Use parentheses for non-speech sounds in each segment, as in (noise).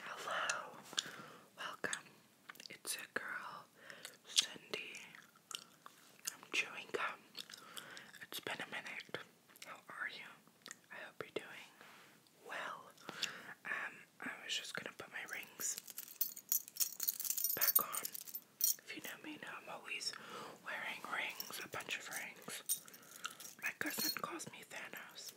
Hello, welcome. It's a girl, Cindy. I'm chewing gum. It's been a minute. How are you? I hope you're doing well. Um, I was just gonna put my rings back on. If you know me, now I'm always wearing rings, a bunch of rings. My cousin calls me Thanos.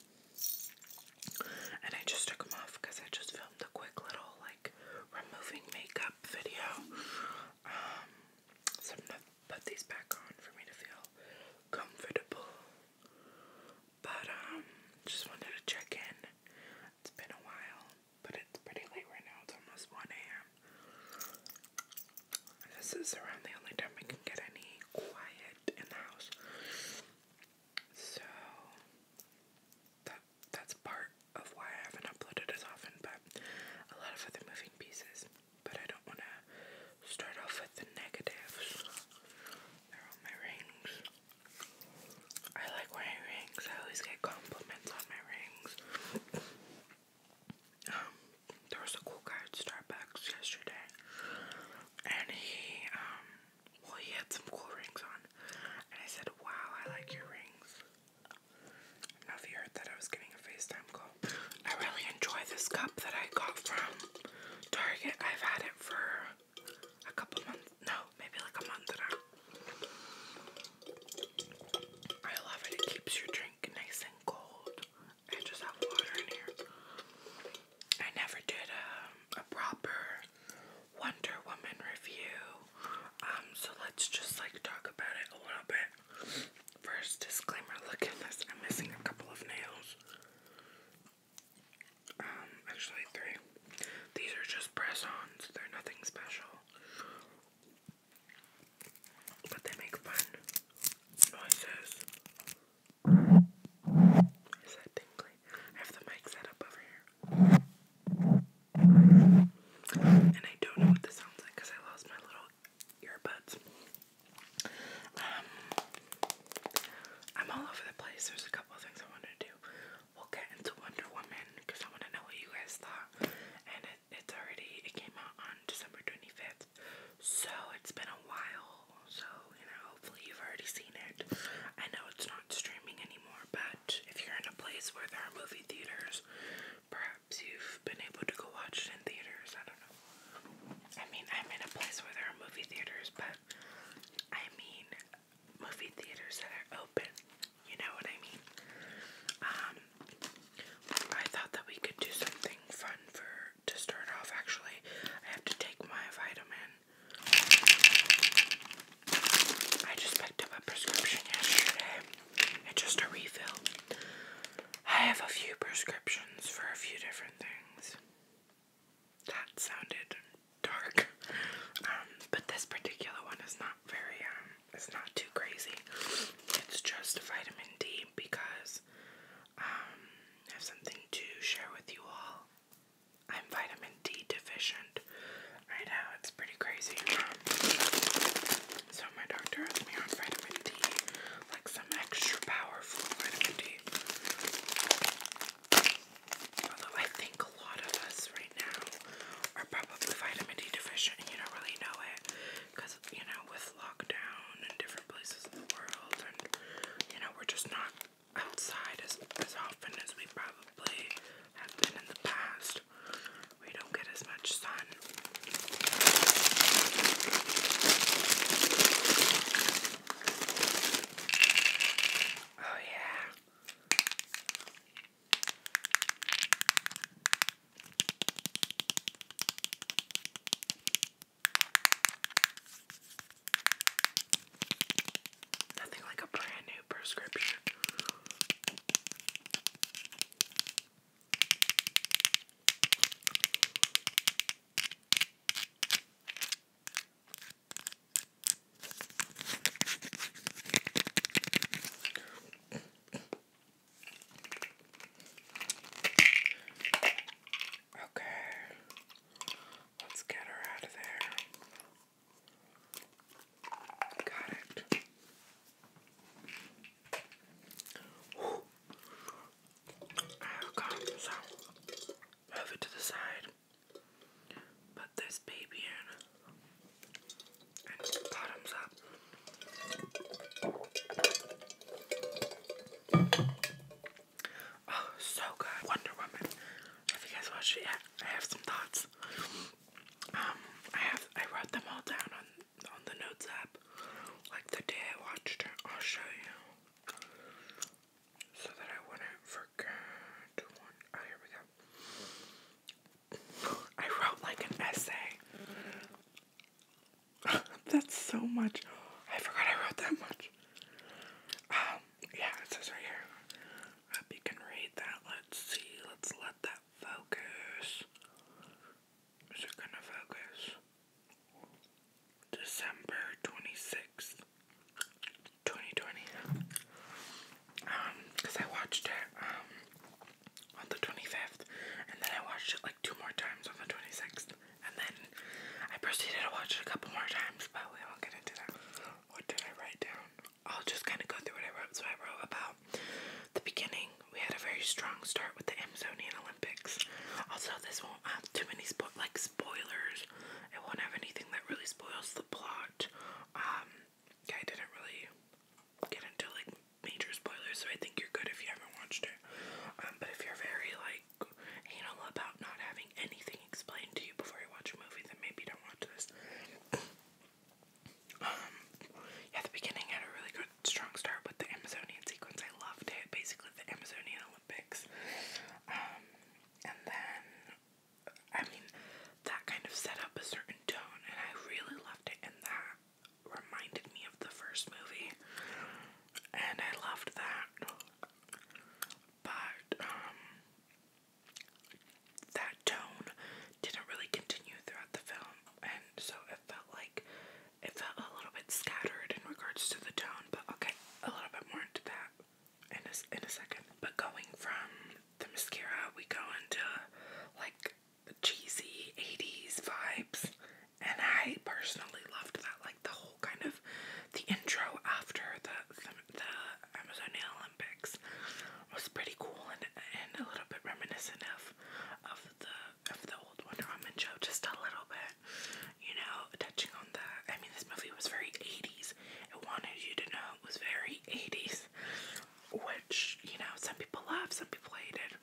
And I just took them off because I just filmed a quick little like removing makeup video. Um, so I'm gonna put these back on for me to feel comfortable. But um, just wanted to check in. It's been a while, but it's pretty late right now. It's almost 1 a.m. This is around the only time I can get any quiet in the house. So that that's part of why I haven't uploaded as often, but a lot of other moving pieces. But I don't want to start off with the negatives. They're all my rings. I like wearing rings. I always get compliments on my rings. um, there was a cool guy at Starbucks yesterday, and he um well, he had some cool rings on, and I said, Wow, I like your rings. I if you heard that I was getting a FaceTime call. I really enjoy this cup that I got from Target. I've had it for a couple months. No, maybe like a month and a I love it. It keeps your drink nice and cold. I just have water in here. I never did a, um, a proper Wonder Woman review. Um, so let's just like talk about it a little bit. First disclaimer, look at this. I'm missing a couple of nails. Um, actually three. These are just press-ons. They're nothing special. But they make fun noises. Is that tingly? I have the mic set up over here. And I don't know what this sounds like because I lost my little earbuds. Um, I'm all over the place. There's a couple things I wanted to do. We'll get into Wonder Woman because I want to know what you guys thought. And it's already, it came out on December 25th. So it's been a while so, you know, hopefully you've already seen it. I know it's not streaming anymore, but if you're in a place where there are movie theaters, perhaps you've been able to go watch it in theaters. I don't know. I mean, I'm in a place where there are movie theaters, but I mean movie theaters that are open. You know what I mean? Um, I thought that we could do something fun for to start off. Actually, I have to take my vitamin I just picked up a prescription yesterday. It's just a refill. I have a few prescriptions for a few different things. That sounded dark. Um, but this particular one is not very, um, it's not too crazy. It's just vitamin D because um, I have something to share with you all. I'm vitamin D deficient right now. It's pretty crazy. So my doctor has me on vitamin D, like some extra powerful vitamin D. Although I think a lot of us right now are probably vitamin D deficient and you don't really know it. Because, you know, with lockdown and different places in the world you know, we're just not outside as, as often as we probably have been in the past. We don't get as much sun. Oh, yeah. Nothing like a brand new prescription. Okay. Let's get her out of there. Got it. Ooh. I've move it to the side. Put this baby in bottoms up. Oh, so good. Wonder Woman. Have you guys watched it yet? I have some thoughts. Um, I have I wrote them all down on on the notes app. Like the day I watched her. I'll show you. So that I wouldn't forget Oh here we go. I wrote like an essay. (laughs) That's so much. I forgot I wrote that much. Um, yeah, it says right here. hope you can read that. Let's see. Let's let that focus. Is it gonna focus? December 26th, 2020. Um, because I watched it, um, on the 25th, and then I watched it like two more times on the 26th, and then I proceeded to watch it a couple more times, but we won't get into that what did I write down? I'll just kind of go through what I wrote. So I wrote about the beginning. We had a very strong start with the Amazonian Olympics. Also, this won't have too many spo like spoilers. It won't have anything that really spoils the plot. Um, I didn't really get into like major spoilers, so I think you're good if you haven't watched it. Um, but if you're very like anal about not having anything explained to you before you watch a movie, then maybe don't watch this. (clears throat) Um, yeah, the beginning had a really good, strong start with the Amazonian sequence. I loved it. Basically, the Amazonian Olympics. Um, and then, I mean, that kind of set up a certain tone, and I really loved it. And that reminded me of the first movie, and I loved that. But um, that tone didn't really continue throughout the film, and so it felt like it felt a little bit scattered in regards to the tone. But okay, a little bit more into that in a, in a second. But going from the mascara, we go into like cheesy 80s vibes, and I personally loved that. Like the whole kind of the intro after that the Amazonia Olympics was pretty cool and, and a little bit reminiscent of of the of the old Wonder Woman show, just a little bit, you know, touching on the, I mean, this movie was very 80s. It wanted you to know it was very 80s, which you know some people love, some people hate it.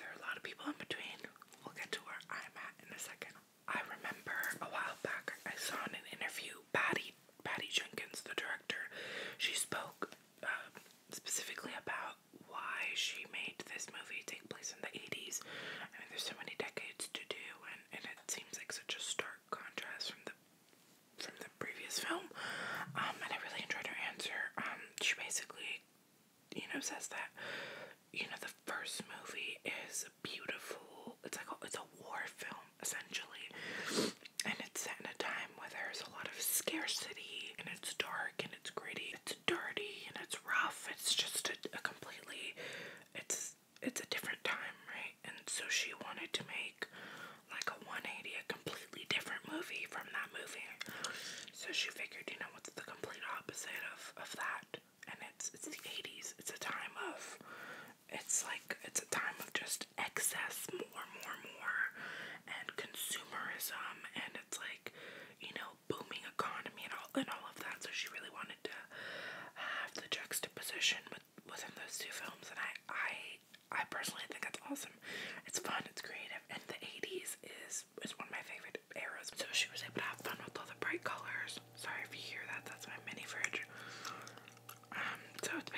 There are a lot of people in between. We'll get to where I'm at in a second. I remember a while back I saw in an interview Patty Patty Jenkins, the director, she spoke uh, specifically about why she made this movie take place in the 80s. I mean, there's so many decades to do, and, and it seems like such a stark contrast from the from the previous film. Um, and I really enjoyed her answer. Um, she basically, you know, says that you know the first movie is beautiful. It's like it's a war film essentially. And it's set in a time where there's a lot of scarcity and it's dark and it's gritty, it's dirty and it's rough. It's just a, a completely it's it's a different time, right? And so she wanted to make like a 180, a completely different movie from that movie. So she figured, you know, what's the complete opposite of, of that? And it's it's the 80s. It's a time of it's like it's a time of just excess, more, more, more, and consumerism, and it's like you know booming economy and all and all of that. So she really wanted to have the juxtaposition with within those two films, and I I I personally think that's awesome. It's fun. It's creative, and the '80s is is one of my favorite eras. So she was able to have fun with all the bright colors. Sorry if you hear that. That's my mini fridge. Um, so it's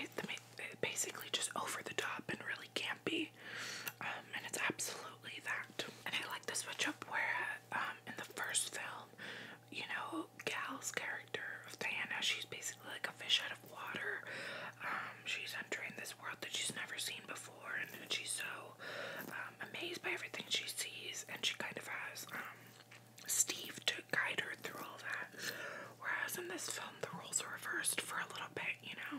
basically just over the top and really campy. Um, and it's absolutely that. And I like the switch up where, um, in the first film, you know, Gal's character of Diana, she's basically like a fish out of water. Um, she's entering this world that she's never seen before, and, she's so amazed by everything she sees, and she kind of has Steve to guide her through all that. Whereas in this film, the roles are reversed for a little bit, you know,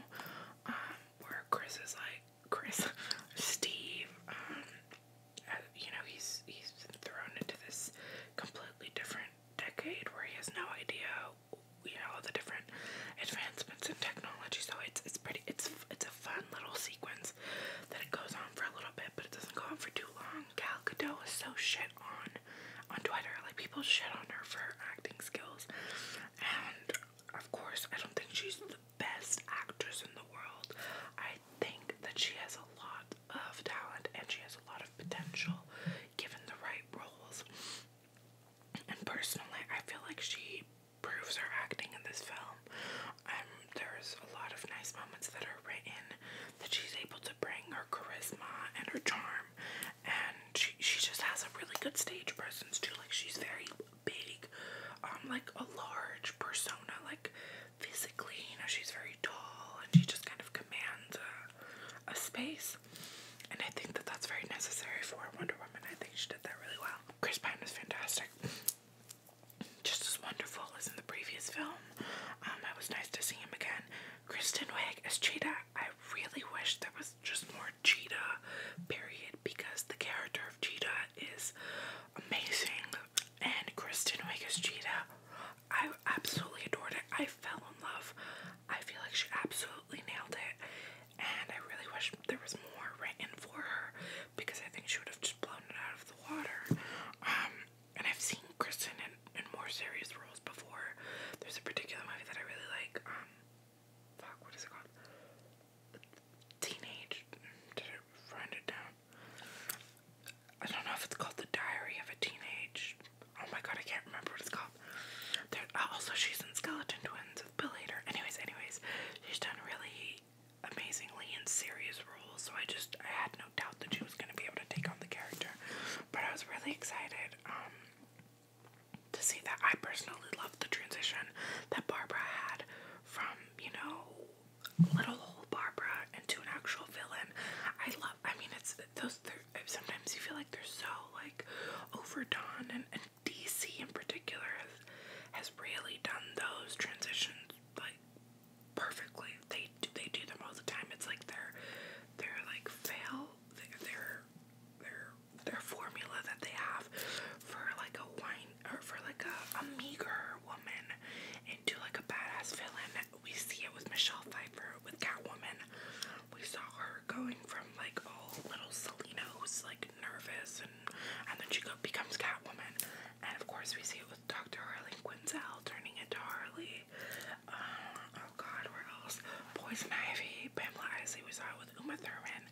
um, where Chris is like Chris, (laughs) Steve. Um, uh, you know, he's he's been thrown into this completely different decade where he has no idea, you know, the different advancements in technology. So it's it's pretty it's it's a fun little sequence that it goes on for a little bit, but it doesn't go on for too long um, Gal Gadot was so shit on on Twitter. Like people shit on her for her acting skills, and of course, I don't think she's the best actress in the world. I think that she has a lot of talent and she has a lot of potential, given the right roles. And personally, I feel like she proves her acting in this film. And um, there's a lot of nice moments that are written that she's able to bring her charisma and her charm, and she just has a really good stage presence too. Like she's very big, um, like a large persona. Like physically, you know, she's very tall, and she just kind of commands a, space. And I think that that's very necessary for Wonder Woman. I think she did that really well. Chris Pine is fantastic. Just as wonderful as in the previous film. Um, it was nice to see him again. Kristen Wiig as Cheetah. I really wish there was just more Cheetah, period, because the character of Cheetah is amazing. And Kristen Wiig as Cheetah, I absolutely adored it. I fell in love. I feel like she absolutely nailed it. And I really wish there was more written for her because I think she would have just blown it out of the water. Um, and I've seen Kristen in, in more serious roles before. There's a particular movie that I really like. Um, fuck, what is it called? Teenage. Did I it down? I don't know if it's called The Diary of a Teenage. Oh my god, I can't remember what it's called. Uh, also, she's in Skeleton Twins with Billy. Hader. Anyways, anyways, she's done really amazingly in serious roles, so I just I had no doubt that she was gonna be able to take on the character. But I was really excited um, to see that. I personally loved the transition that Barbara had from, you know, little old Barbara into an actual villain. I love, I mean, it's those, sometimes you feel like they're so, like, overdone, and, and DC in particular has, has really done those transitions, like, perfectly. They they do them all the time. It's like their their like fail their their their formula that they have for like a wine or for like a, a meager woman into like a badass villain. We see it with Michelle Pfeiffer with Catwoman. We saw her going from like all little Selena who's like nervous and and then she becomes Catwoman. And of course we see it with Dr. Harley Quinzel turning into Harley oh god, where else? Poison Ivy, Pamela Isley was out with Uma Thurman.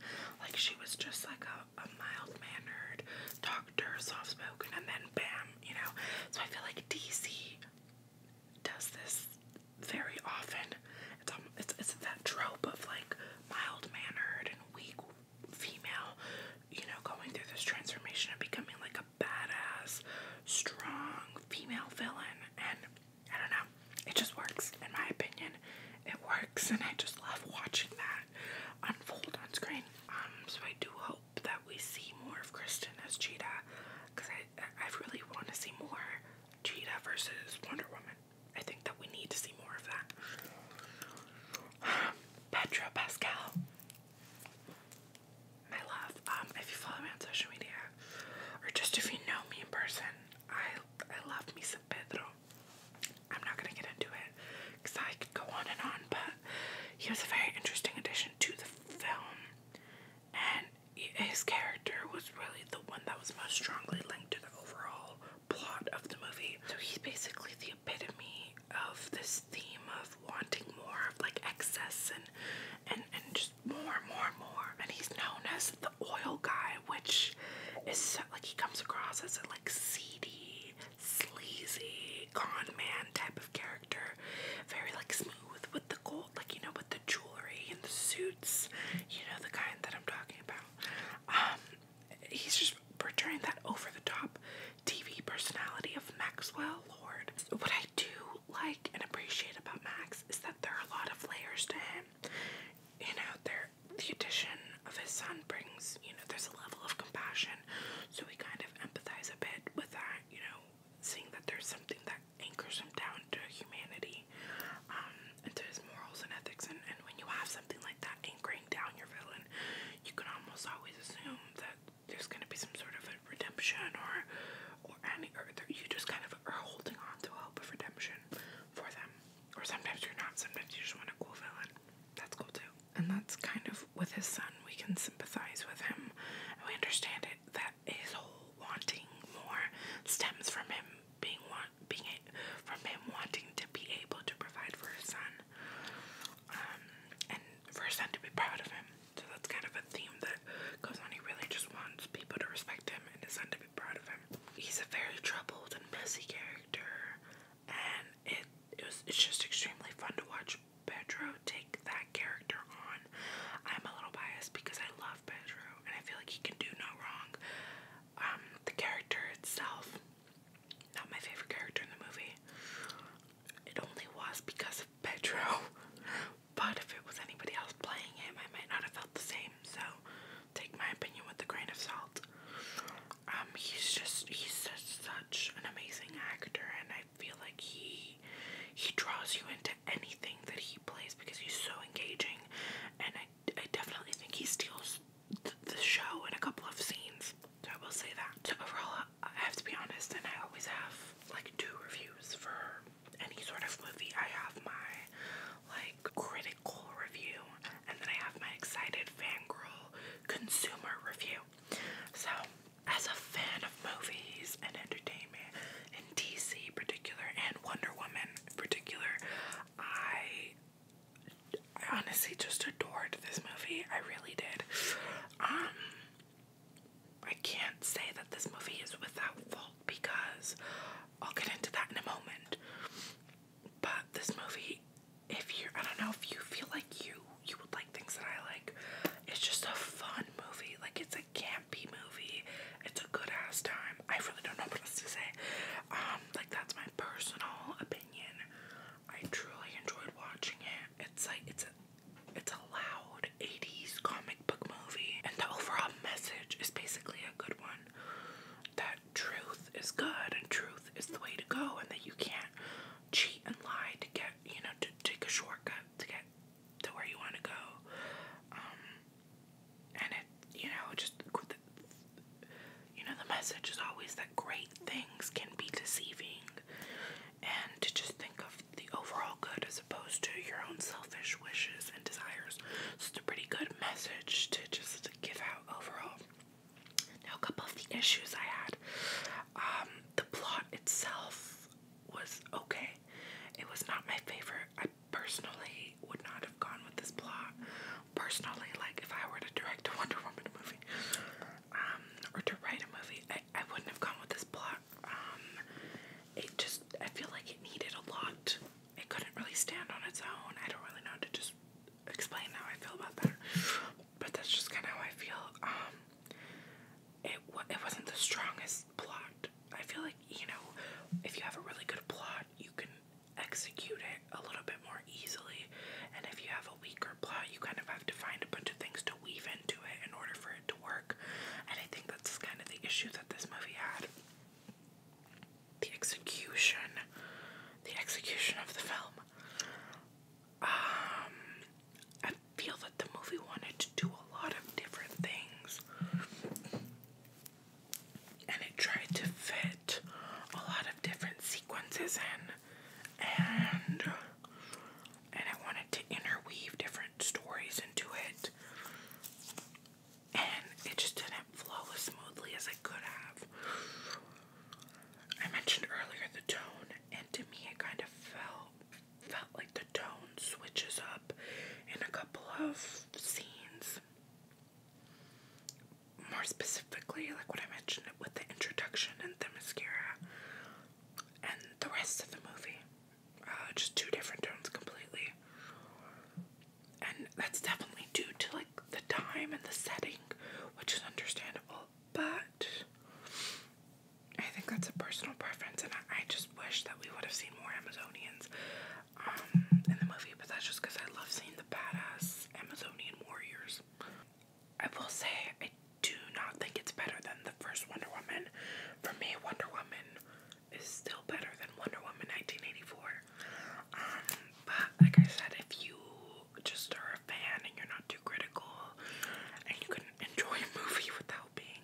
Like she was just like a, mild mannered doctor, soft spoken, and then bam, you know. So I feel like DC does this very often. It's um, it's it's that trope of like mild mannered and weak female, you know, going through this transformation of becoming like a badass, strong female villain, and I don't know, it just works, in my opinion. It works, and I just love watching that unfold on screen. Um, so I do hope that we see more of Kristen as Cheetah, because I, I really want to see more Cheetah versus Wonder Woman. I think that we need to see more of that. (sighs) Petra Pascal my love. Um, if you follow me on social media, or just if you know me in person, I I love Misa Pedro. I'm not gonna get into it because I could go on and on, but he was a very interesting addition to the film, and his character was really the one that was most strongly linked to the overall plot of the movie. So he's basically the epitome of this theme of wanting more of like excess and and and just more, more, more. And he's known as the oil guy, which is like he comes across as a like seedy, sleazy con man type of character. Very like smooth with the gold, like you know, with the jewelry and the suits. You know the kind that I'm talking about. Um, he's just portraying that over the top TV personality of Maxwell Lord what I do like and appreciate about Max is that there are a lot of layers to him. You know, there the addition of his son brings, you know, there's a level of compassion. So we kind of empathize a bit with that, you know, seeing that there's something that anchors him down to humanity, um, and to his morals and ethics and, and when you have something like that anchoring down your villain, you can almost always assume that there's going to be some sort of a redemption or or any or you just kind of are holding on to hope of redemption for them. Or sometimes you're not. Sometimes you just want a cool villain. That's cool too. And that's kind of with his son. We can sympathize with him. we understand it that his whole wanting more stems from him being want being from him wanting to be able to provide for his son. Um, and for his son to be proud of him. So that's kind of a theme that goes really just wants people to respect him and his son to be proud of him. He's a very troubled and messy character, and it, it was it's just extremely fun to watch Pedro take that character on. I'm a little biased because I love Pedro and I feel like he can do no wrong. Um, the character itself, not my favorite character in the movie. It only was because of Pedro, (laughs) But if it was anybody else playing him, I might not have felt the same. So take my opinion with a grain of salt. Um, he's just he's just such an amazing actor, and I feel like he he draws you into anything that he plays because he's so engaging, and I I definitely think he steals the show in a couple of scenes. So I will say that. So overall, I have to be honest, and I always have like two reviews for any sort of movie, I have my like critical review and then I have my excited fan girl consumer review. So, as a fan of movies and entertainment, and DC particular, and Wonder Woman particular, I I honestly just adored this movie. I really did. Um, I can't say that this movie is without fault because I'll get into that in a moment. But this movie, if you I don't know if you feel like you you would like things that I like. It's just a fun movie. Like it's a campy movie. It's a good ass time. I really don't know what else to say. Um, like that's my personal opinion. I truly enjoyed watching it. It's like it's a it's a loud 80s comic book movie, and the overall message is basically a good one that truth is good and truth is the way to go, and that you can't cheat and lie to get, you know, to take a shortcut to get to where you want to go. Um, and it, you know, just you know, the message is always that great things can be deceiving, and to just think of the overall good as opposed to your own selfish wishes and desires. it's a pretty good message to just give out overall. Now, a couple of the issues I had. Um, the plot itself was okay. It was not my favorite. I personally would not have gone with this plot. Personally, like if I were to direct a (laughs) Wonder Woman movie, um, or to write a movie, I, I wouldn't have gone with this plot. Um, it just, I feel like it needed a lot. It couldn't really stand on its own. I don't really know how to just explain how I feel about that. But that's just kind of how I feel. Um, it, it wasn't the strongest plot. I feel like, you know, if you have a really good plot, you can execute it a little bit more easily. And if you have a weaker plot, you kind of have to find a bunch of things to weave into it in order for it to work. And I think that's kind of the issue that this movie had. The execution, the execution of the film. Um, I feel that the movie wanted to do a lot of different things, and it tried to fit a lot of different sequences in, and and I wanted to interweave different stories into it, and it just didn't flow as smoothly as I could have. I mentioned earlier the tone, and to me, it kind of felt felt like the tone switches up in a couple of scenes. More specifically, like what I mentioned with the introduction and the mascara, and the rest of the movie. Uh, just two different tones completely. And that's definitely due to like the time and the setting, which is understandable. But I think that's a personal preference, and I, just wish that we would have seen more Amazonians um, in the movie. But that's just because I love seeing the badass Amazonian warriors. I will say, I do not think it's better than the first Wonder Woman. For me, Wonder Woman is still better than Wonder Woman 1984. Um, but like I said, if you just are a fan and you're not too critical and you can enjoy a movie without being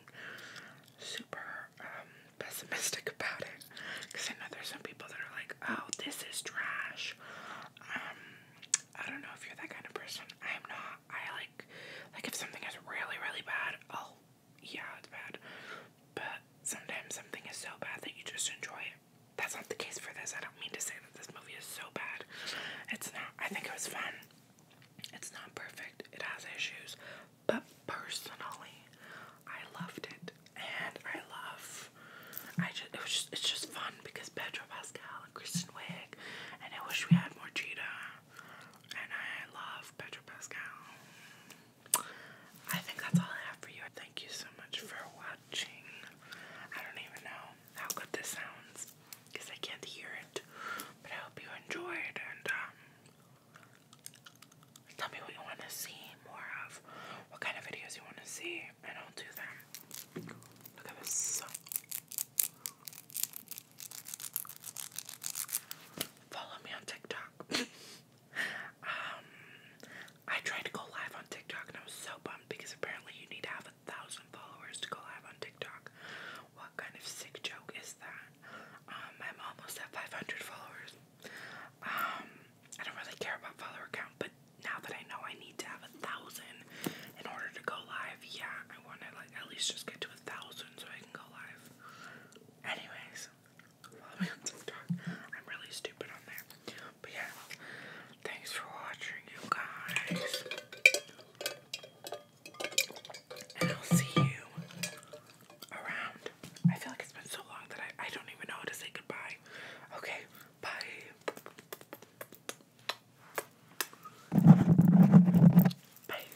super um, pessimistic about it, because I know there's some people that are like, oh, this is trash. Um, I don't know if you're that kind of person. I'm not. I like, like if something is really, really bad, i yeah, it's bad. But sometimes something is so bad that you just enjoy it. That's not the case for this. I don't mean to say that this movie is so bad. It's not. I think it was fun. It's not perfect. It has issues. But personally, I loved it. And I love I just it was just it's just fun because Pedro Pascal and Kristen Wiig and I wish we had more Cheetah and I love Pedro Pascal. I think that's all I have for you. Thank you so much for watching. I don't even know how good this sounds because I can't hear it, but I hope you enjoyed and um, tell me what you want to see more of, what kind of videos you want to see, and I'll do them. Look at this. Follow me on TikTok. Um, I tried to go live on TikTok and I was so bummed because apparently you need to have a thousand followers to go live on TikTok. What kind of sick joke is that? Um, I'm almost at 500 followers. Um, I don't really care about follower count, but now that I know I need to have a thousand in order to go live, yeah, I want to like at least just get to a thousand so I can go live. Anyways, i thanks for watching, you guys. And I'll see you around. I feel like it's been so long that I, I don't even know how to say goodbye. Okay, bye. Bye.